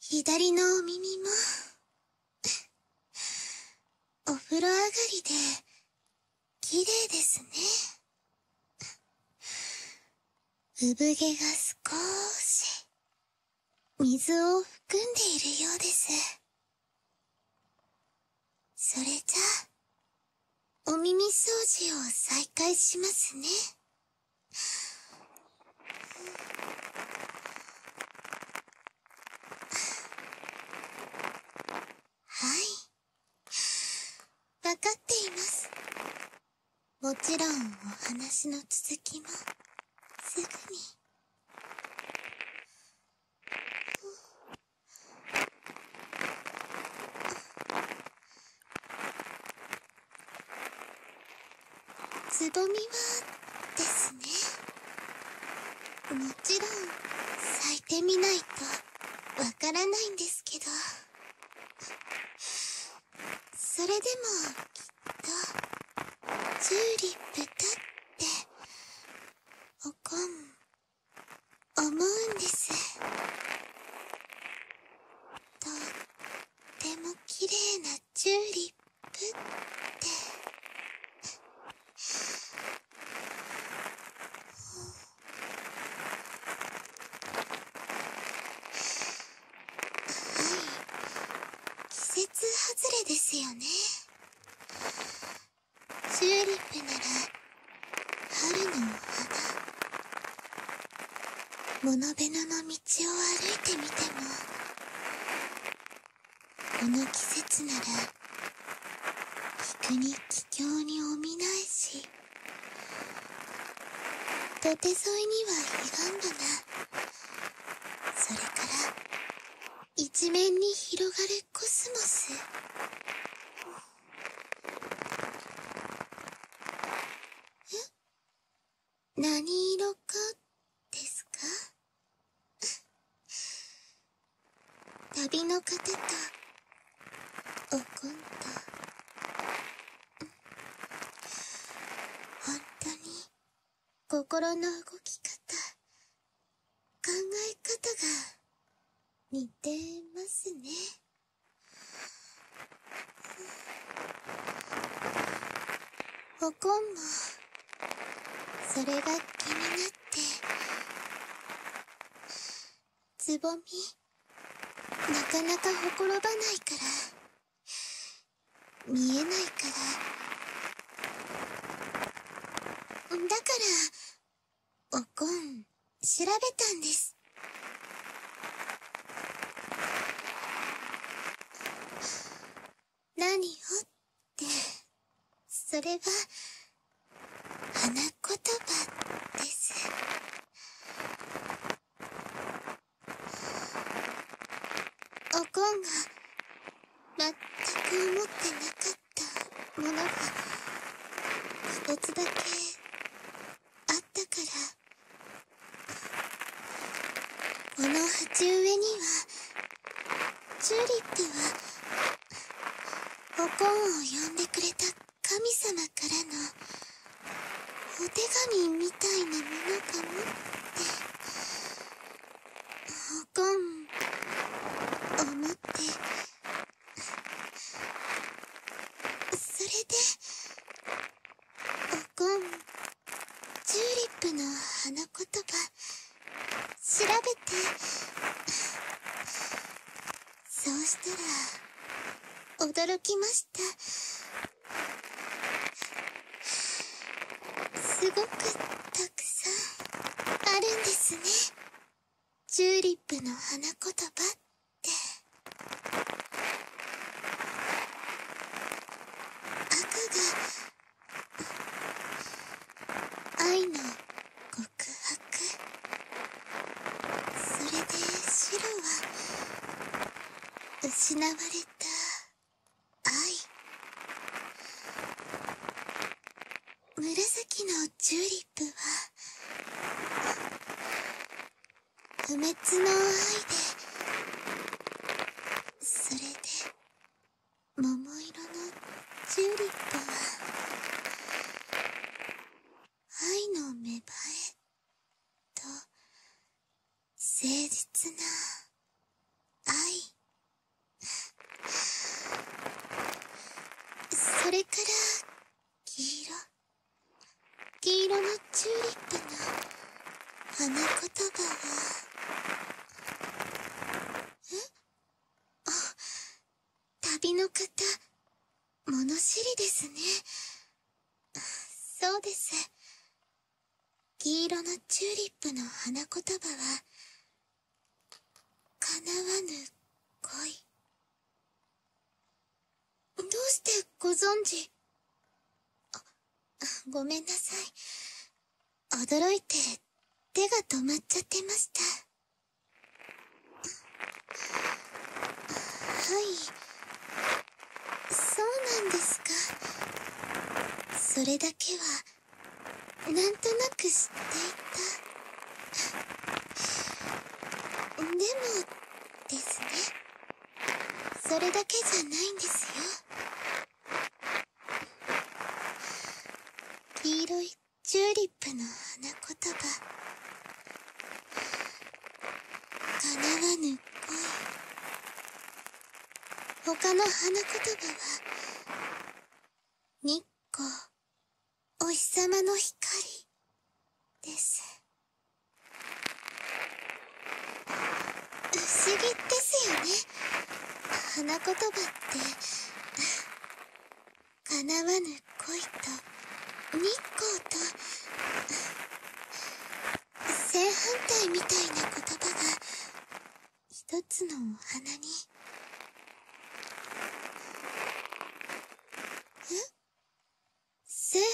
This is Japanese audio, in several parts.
左のお耳もお風呂上がりで綺麗ですね産毛が少し水を含んでいるようですそれじゃお耳掃除を再開しますねはいわかっていますもちろんお話の続きもすぐに。つぼみはですねもちろん咲いてみないとわからないんですけどそれでもきっとチューリップだっておこん思うんですとっても綺麗なチューリップってはい季節外れですよねチューリップなら春の花モノベノの道を歩いてみてもこの季節なら菊に気境にお見ないし土手沿いには彼岸花それから一面に広がるコスモスえ何色かですか旅の方と、お怒った本当に心の動き方考え方が似てますねおこんもそれが気になってつぼみなかなかほころばないから見えないからだからおこん調べたんです何をってそれは花言葉ですおこんが全く思ってなかったものが一つだけあったからこの鉢植えにはチューリップはおこんを呼んでくれた神様からのお手紙みたいなものかもっておこん思ってそれでおこんチューリップの花言葉調べてそうしたら驚きましたすごくたくさんあるんですねチューリップの花言葉って。が愛の告白それで白は失われた愛紫のチューリップは不滅の愛でそれで桃色のジュリットは愛の芽生えと誠実な愛それから黄色黄色のチューリップの花言葉はえあ旅の方物知りですねそうです黄色のチューリップの花言葉は叶わぬ恋どうしてご存じごめんなさい。驚いて、手が止まっちゃってました。はい。そうなんですか。それだけは、なんとなく知っていた。でも、ですね。それだけじゃないんですよ。黄色いチューリップの花言葉叶わぬ恋他の花言葉は日光お日様の光です不思議ですよね花言葉って叶わぬ恋と日光と正反対みたいな言葉が一つのお花にえ正反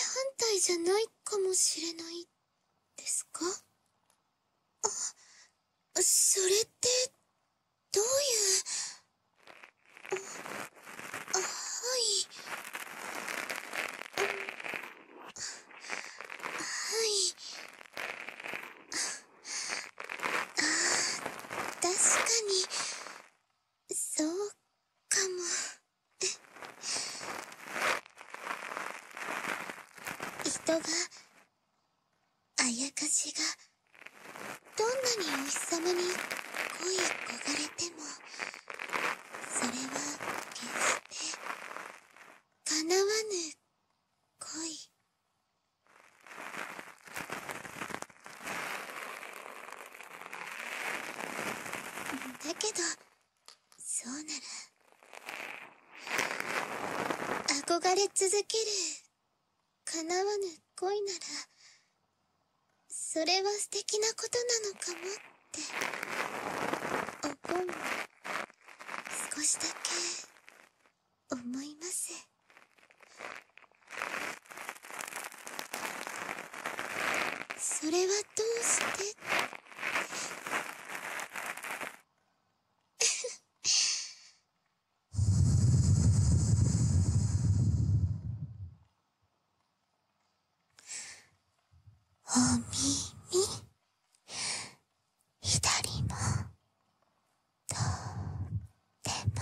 対じゃないかもしれないですかあそれってどういうあはいはいあ確かにそうかも。人があやかしがどんなにお日様に恋い焦がれてもそれは決してかなわぬ恋だけどそうなら憧れ続ける叶わぬ恋ならそれは素敵なことなのかもってお思う少しだけ思いますそれはどうしておみみ……。も……。も……。とって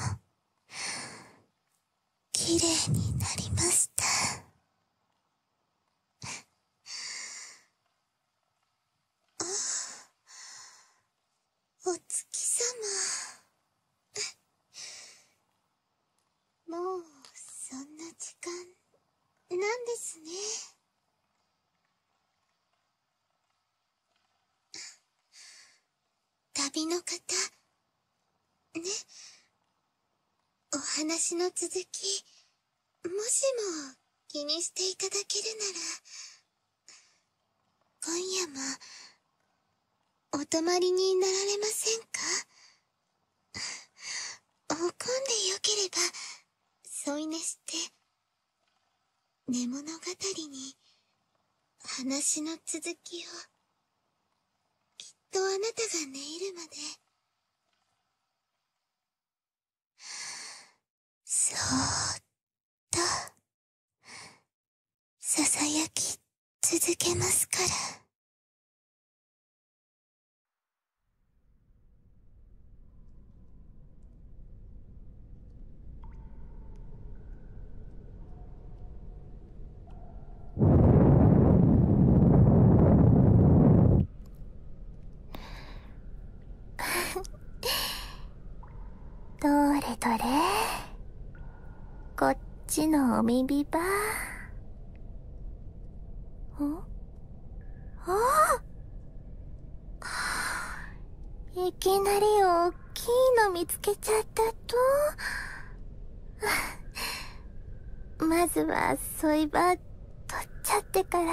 綺麗になりましたあお月様もうそんな時間なんですね旅の方ねお話の続きもしも気にしていただけるなら今夜もお泊まりになられませんかおこんでよければ添い寝して寝物語に話の続きをきっとあなたが寝入るまで。そーっとささやき続けますから。どれどれこっちのお耳ばんああいきなりおっきいの見つけちゃったと まずはそいば取っちゃってから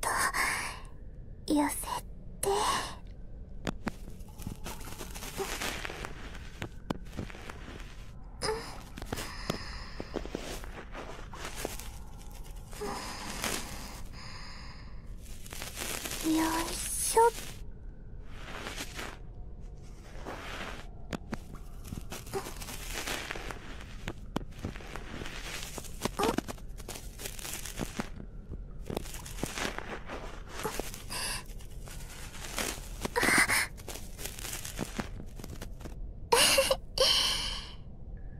と痩せて。よいしょっと。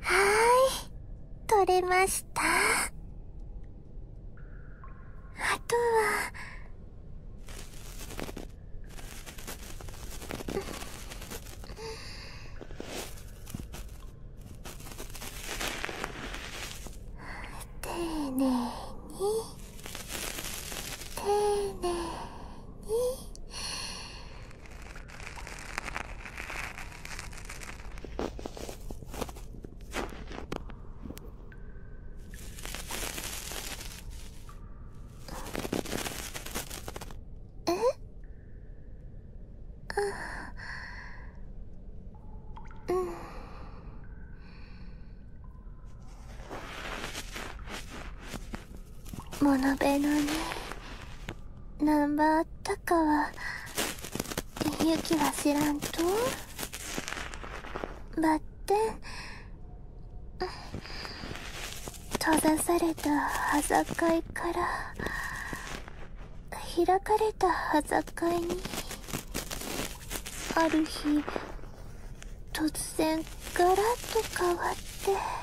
はい取れましたあとは丁寧に丁寧にえうモノベのねナンバーたかはゆきは知らんとばってん。閉ざされたはざかいから開かれた裸にある日突然ガラッと変わって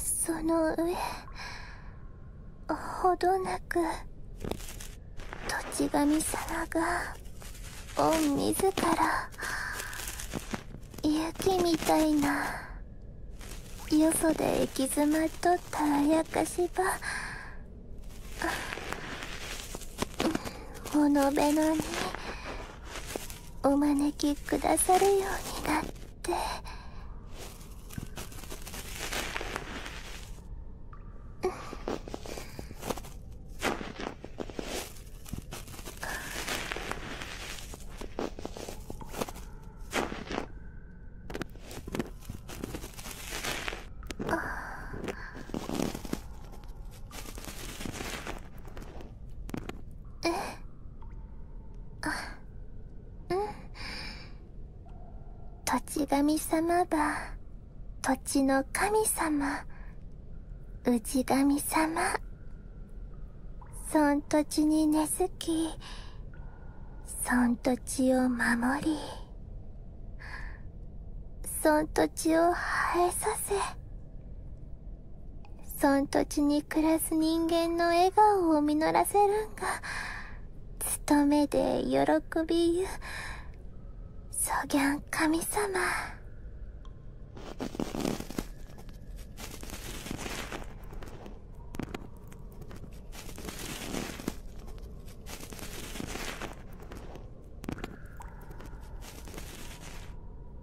その上ほどなく土地神様が御自ら雪みたいなよそで行き詰まっとったあやかしばほのべのにお招きくださるようになって土地神様ば土地の神様氏神様そん土地に根付き、そん土地を守り、そん土地を生えさせ、そん土地に暮らす人間の笑顔を実らせるんが、務めで喜びゆ、そぎゃん神様。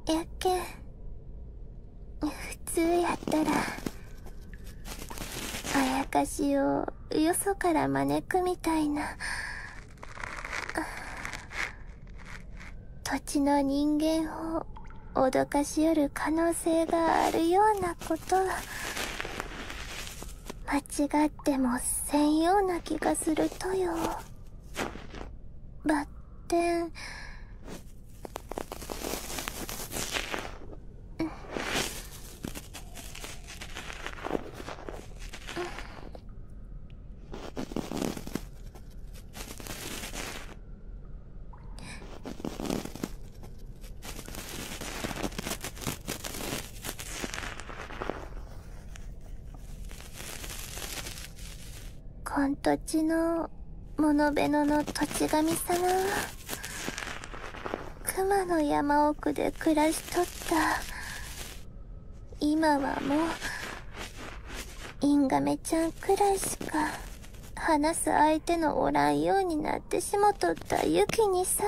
やっけ普通やったらあやかしをよそから招くみたいな土地の人間を脅かしよる可能性があるようなこと間違ってもせんような気がするとよバッテん。こん土地の物ベノの土地神様熊の山奥で暮らしとった今はもうインガメちゃんくらいしか話す相手のおらんようになってしもとったユキにさ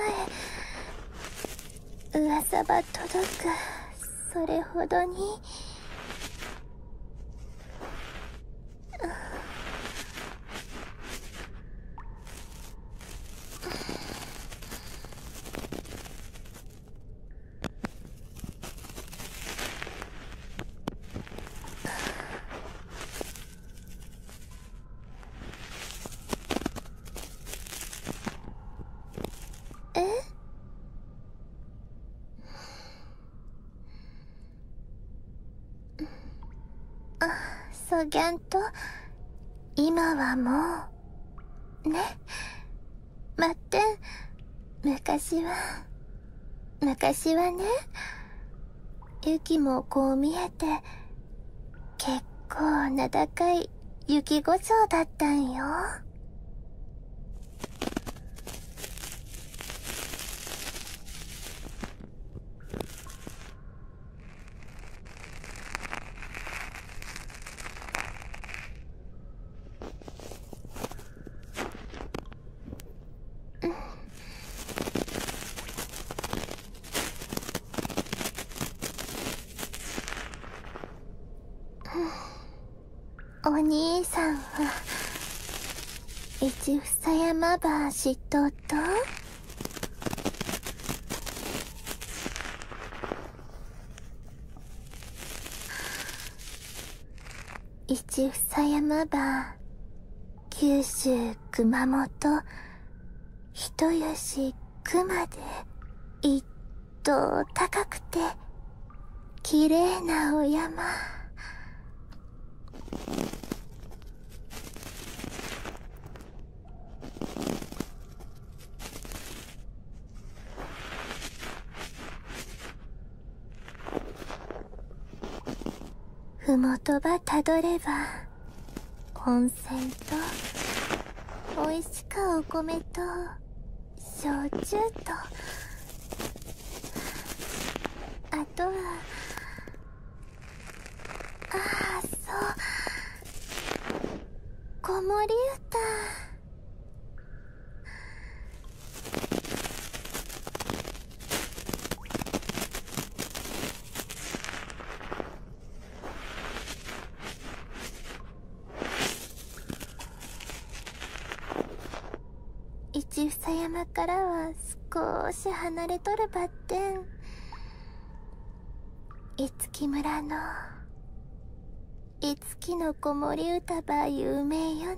え噂ば届くそれほどに。あ、そぎゃんと今はもうね待って、昔は、昔はね、ユキもこう見えて、結構名高い雪ごちょうだったんよ。うん。お兄さんは一房山ばしとと一房山ば、九州熊本、人吉熊で、一等高くて、綺麗なお山。ふもとばたどれば温泉とおいしかお米と焼酎とあとはああそう子守歌一房山からは少し離れとるばってん樹村の樹で月の子守歌ば有名よね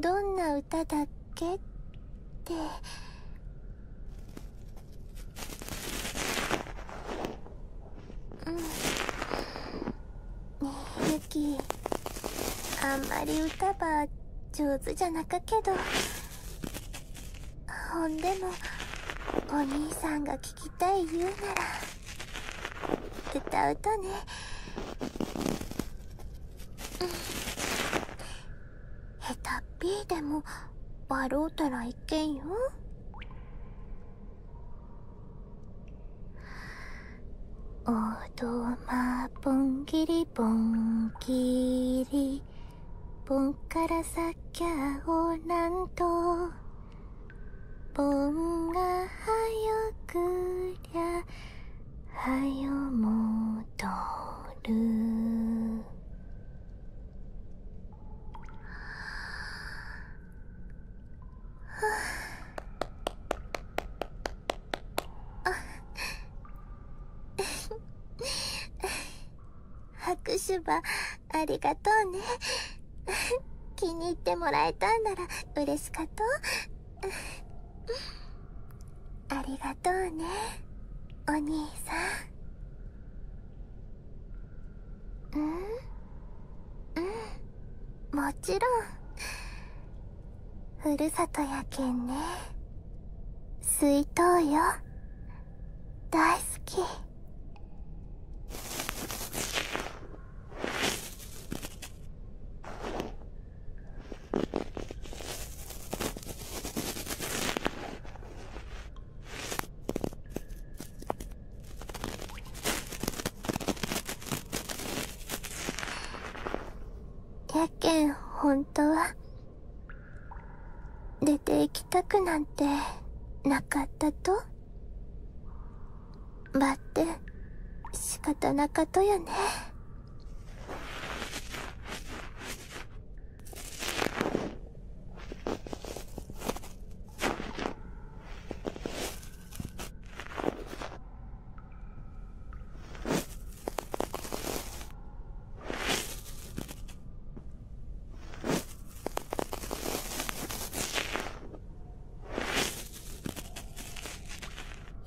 どんな歌だった？けってうんねえユキあんまり歌ば上手じゃなかけどほんでもお兄さんが聞きたい言うなら歌うとね下手っぴーでも笑うたらいけんよおどまぼんぎりぼんぎりぼんからさきゃおなんとぼんがはよくりゃはよもとる 拍手ばありがとうね 気に入ってもらえたんなら嬉しかとありがとうねお兄さんうんうんもちろんふるさとやけんねすいとうよ大好きやけん本当は出て行きたくなんてなかったとばってん、仕方なかとよね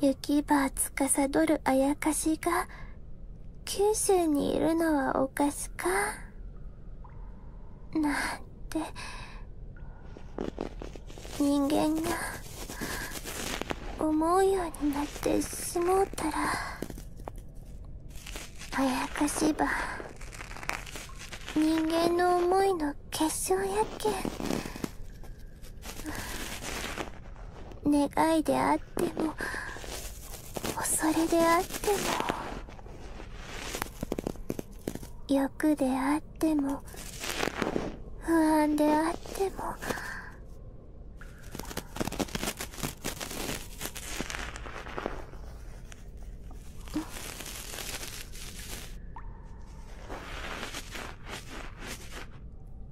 雪ばつかさどるあやかしが九州にいるのはおかしかなんて人間が思うようになってしもうたらあやかしば人間の思いの結晶やけん願いであっっも恐れであっても欲であっても不安であっても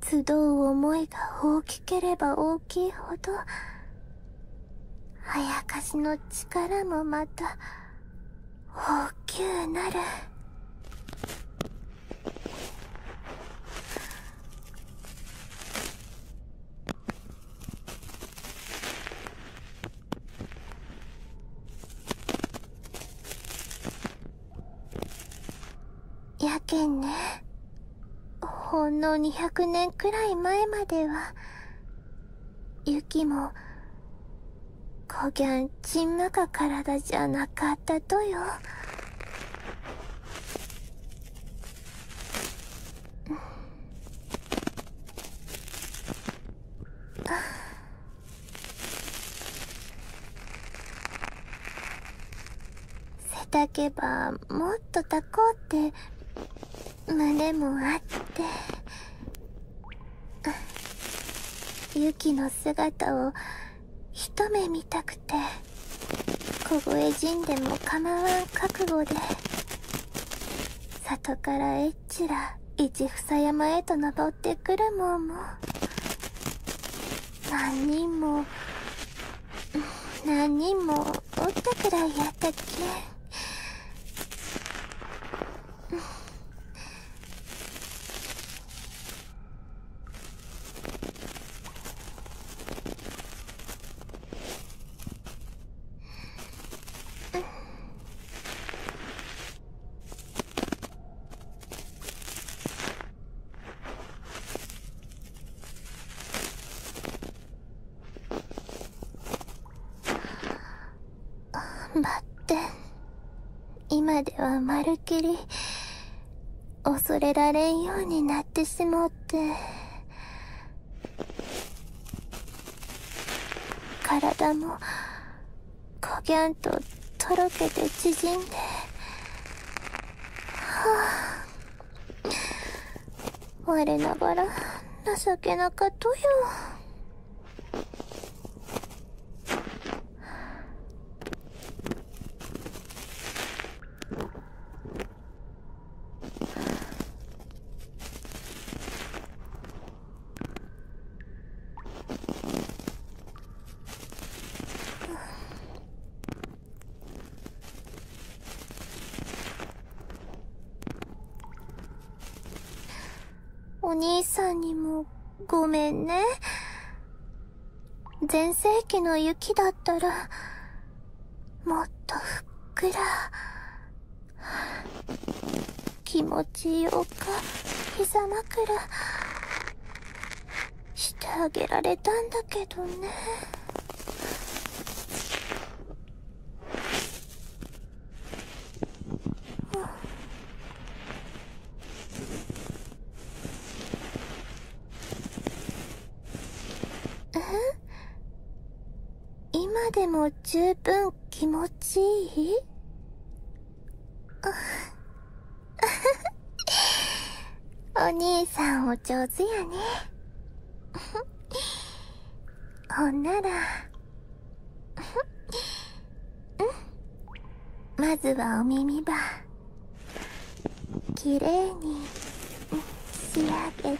集う思いが大きければ大大きほど、あやかしの力もまた、大きゅうなる。やけんね。ほんの200年くらい前までは、ユキも、こぎゃんちんまか体じゃなかったとよ。せたけばもっとたこうって胸もあってユキの姿を一目見たくて凍え死んでも構わん覚悟で里からえっちら一房山へと登ってくるもんも何人も何人もおったくらいやったっけはバってん。今ではまるきり恐れられんようになってしもうて体もこぎゃんととろけて縮んではあ我ながら情けなかとよ。お兄さんにもごめんね。全盛期の雪だったら、もっとふっくら、気持ちよか、膝枕、してあげられたんだけどね。今でも十分気持ちいい お兄姉さんお上手やね。ほんなら、まずはお耳ば、きれいに、仕上げて、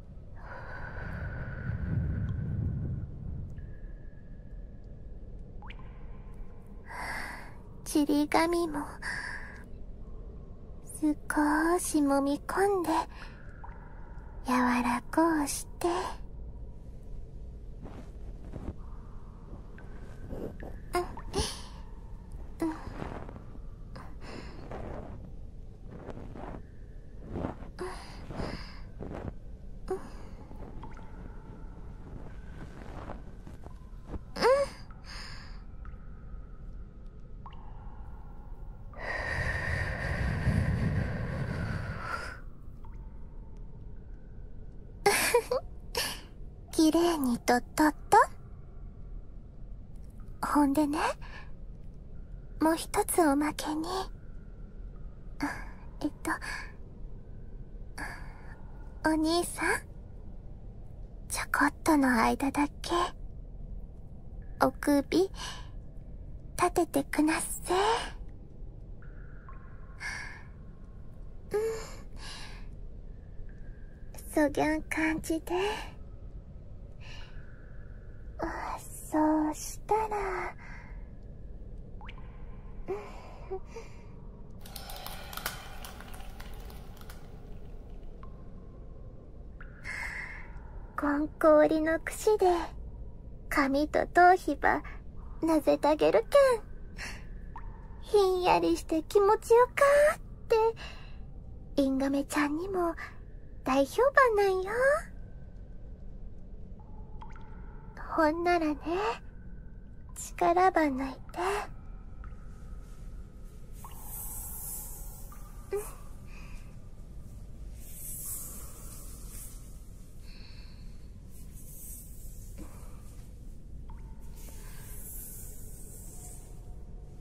はちり紙もす少しもみ込んで柔らこうしてうん。…ん、ん。…綺麗にとっとっとほんでねもう一つおまけにえっとお兄さんちょこっとの間だけお首立ててくなっせうんそぎゃん感じで。そうしたらこんこおりのくしで髪と頭皮ばなぜたげるけんひんやりして気持ちよかってインガメちゃんにも大評判なんよほんならね力ばないて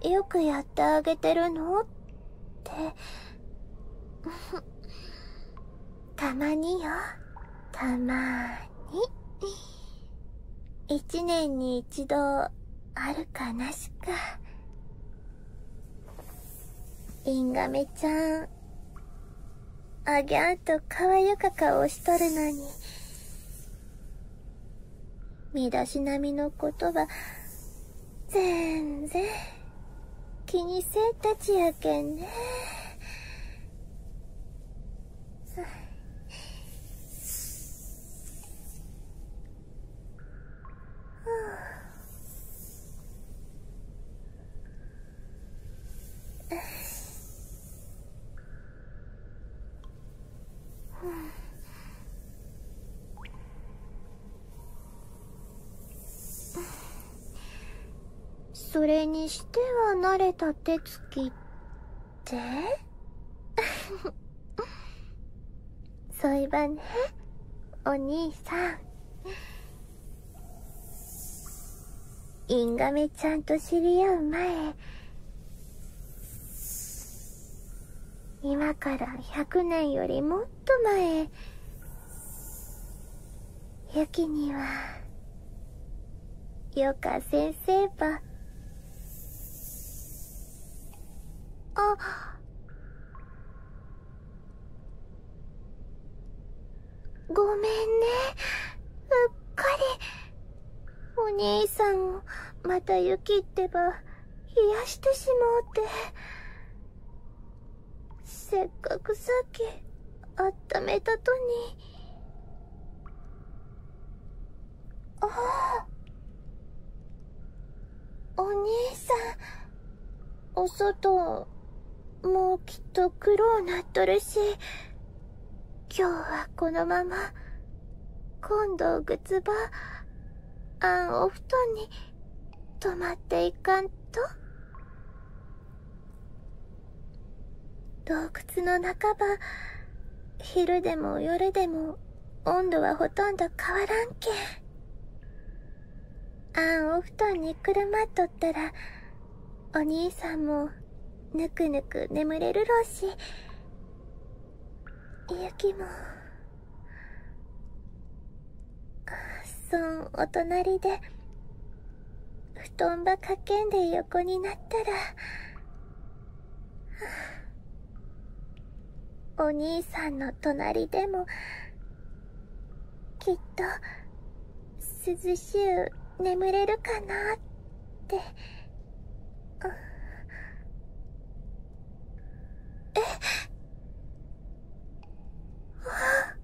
えよくやってあげてるのって たまによたまに一年に一度あるかなしかインガメちゃんあぎゃーとかわゆか顔しとるのに身だしなみの言葉、はぜんぜん気にせえたちやけんねそれにしては慣れた手つきって そういえばねお兄さんインガメちゃんと知り合う前今から100年よりもっと前ユキにはヨカ先生ばあっ。ごめんねうっかりお兄さんをまた雪ってば冷やしてしもうてせっかくさっきあっためたとにああお兄さんお外もうきっと苦労なっとるし、今日はこのまま、今度グぐつば、あんお布団に、泊まっていかんと。洞窟の半ば、昼でも夜でも温度はほとんど変わらんけあんお布団にくるまっとったらお兄さんもぬくぬく眠れるろうし雪もそんお隣で布団ばかけんで横になったらお兄さんの隣でもきっと涼しゅう眠れるかなってえあ、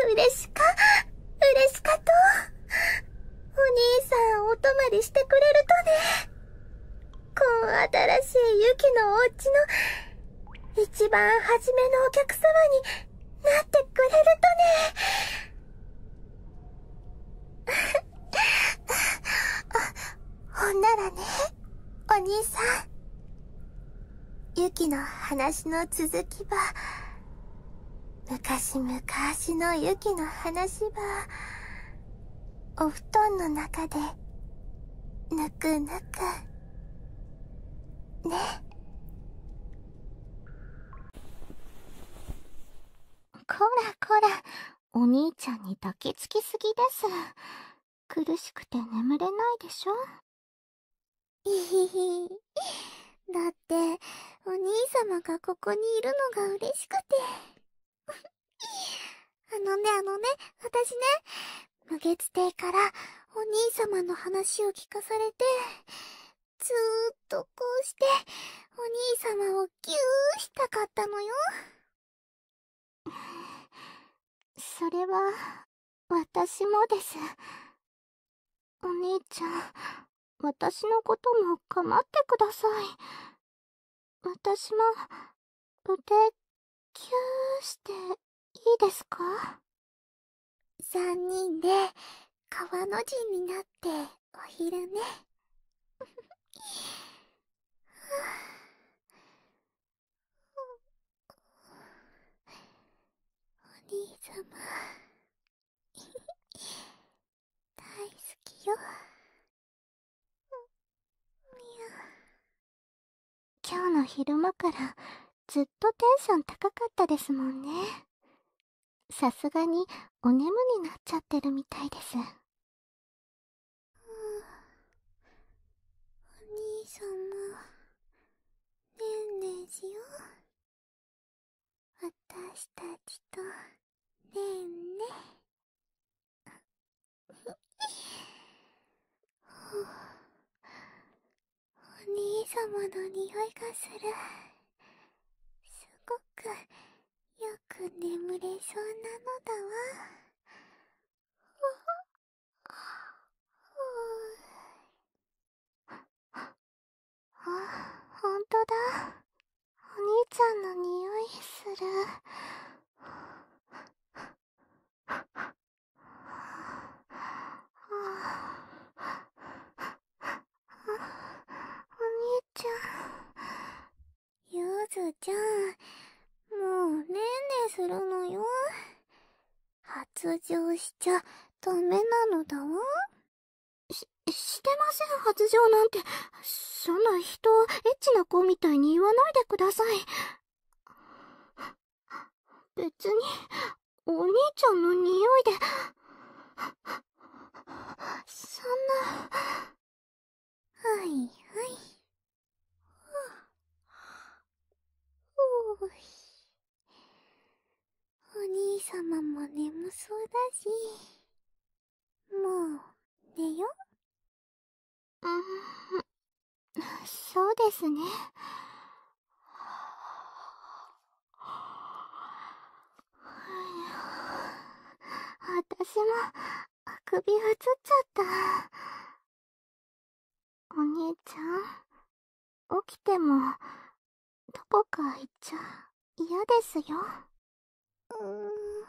うれしかうれしかとお兄さんお泊まりしてくれるとねこん新しい雪のお家の一番初めのお客様になってくれるとね。ほんならね、お兄さん。ユキの話の続きば、昔々のユキの話ば、お布団の中で、ぬくぬく。ねこらこらお兄ちゃんに抱きつきすぎです苦しくて眠れないでしょいひひだってお兄様がここにいるのが嬉しくて あのねあのね私ね無月亭からお兄様の話を聞かされて、ずーっとこうして、お兄様をぎゅーしたかったのよ。それは、私もです。お兄ちゃん、私のことも構ってください。私も、てキゅーしていいですか三人で、川の字になって、お昼寝。お兄様、大好きよ。やん、今日の昼間からずっとテンション高かったですもんねさすがにお眠になっちゃってるみたいですお兄さ様ねんねんしよ私たちとねんねお兄様の匂いがするすごくよく眠れそうなのだわあほんとだお兄ちゃんの匂いするお兄ちゃん。ゆずちゃん、もうねんねするのよ。発情しちゃダメなのだわ。し、してません、発情なんて。そんな人、エッチな子みたいに言わないでください。別に、お兄ちゃんの匂いで、そんな、はいはい。おい。お兄様も眠そうだし、もう、寝ようんそうですね私もあくびがつっちゃったお兄ちゃん起きてもどこか行っちゃ嫌ですようん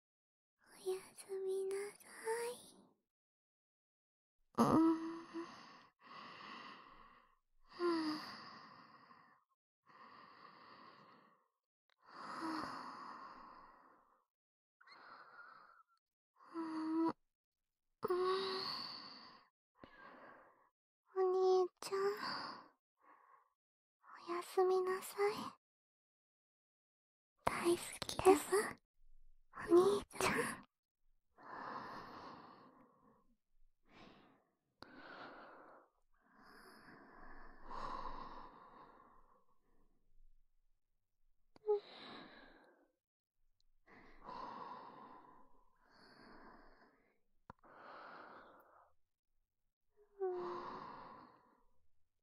おやすみなさい。お兄ちゃん。おやすみなさい。大好きですお兄ちゃん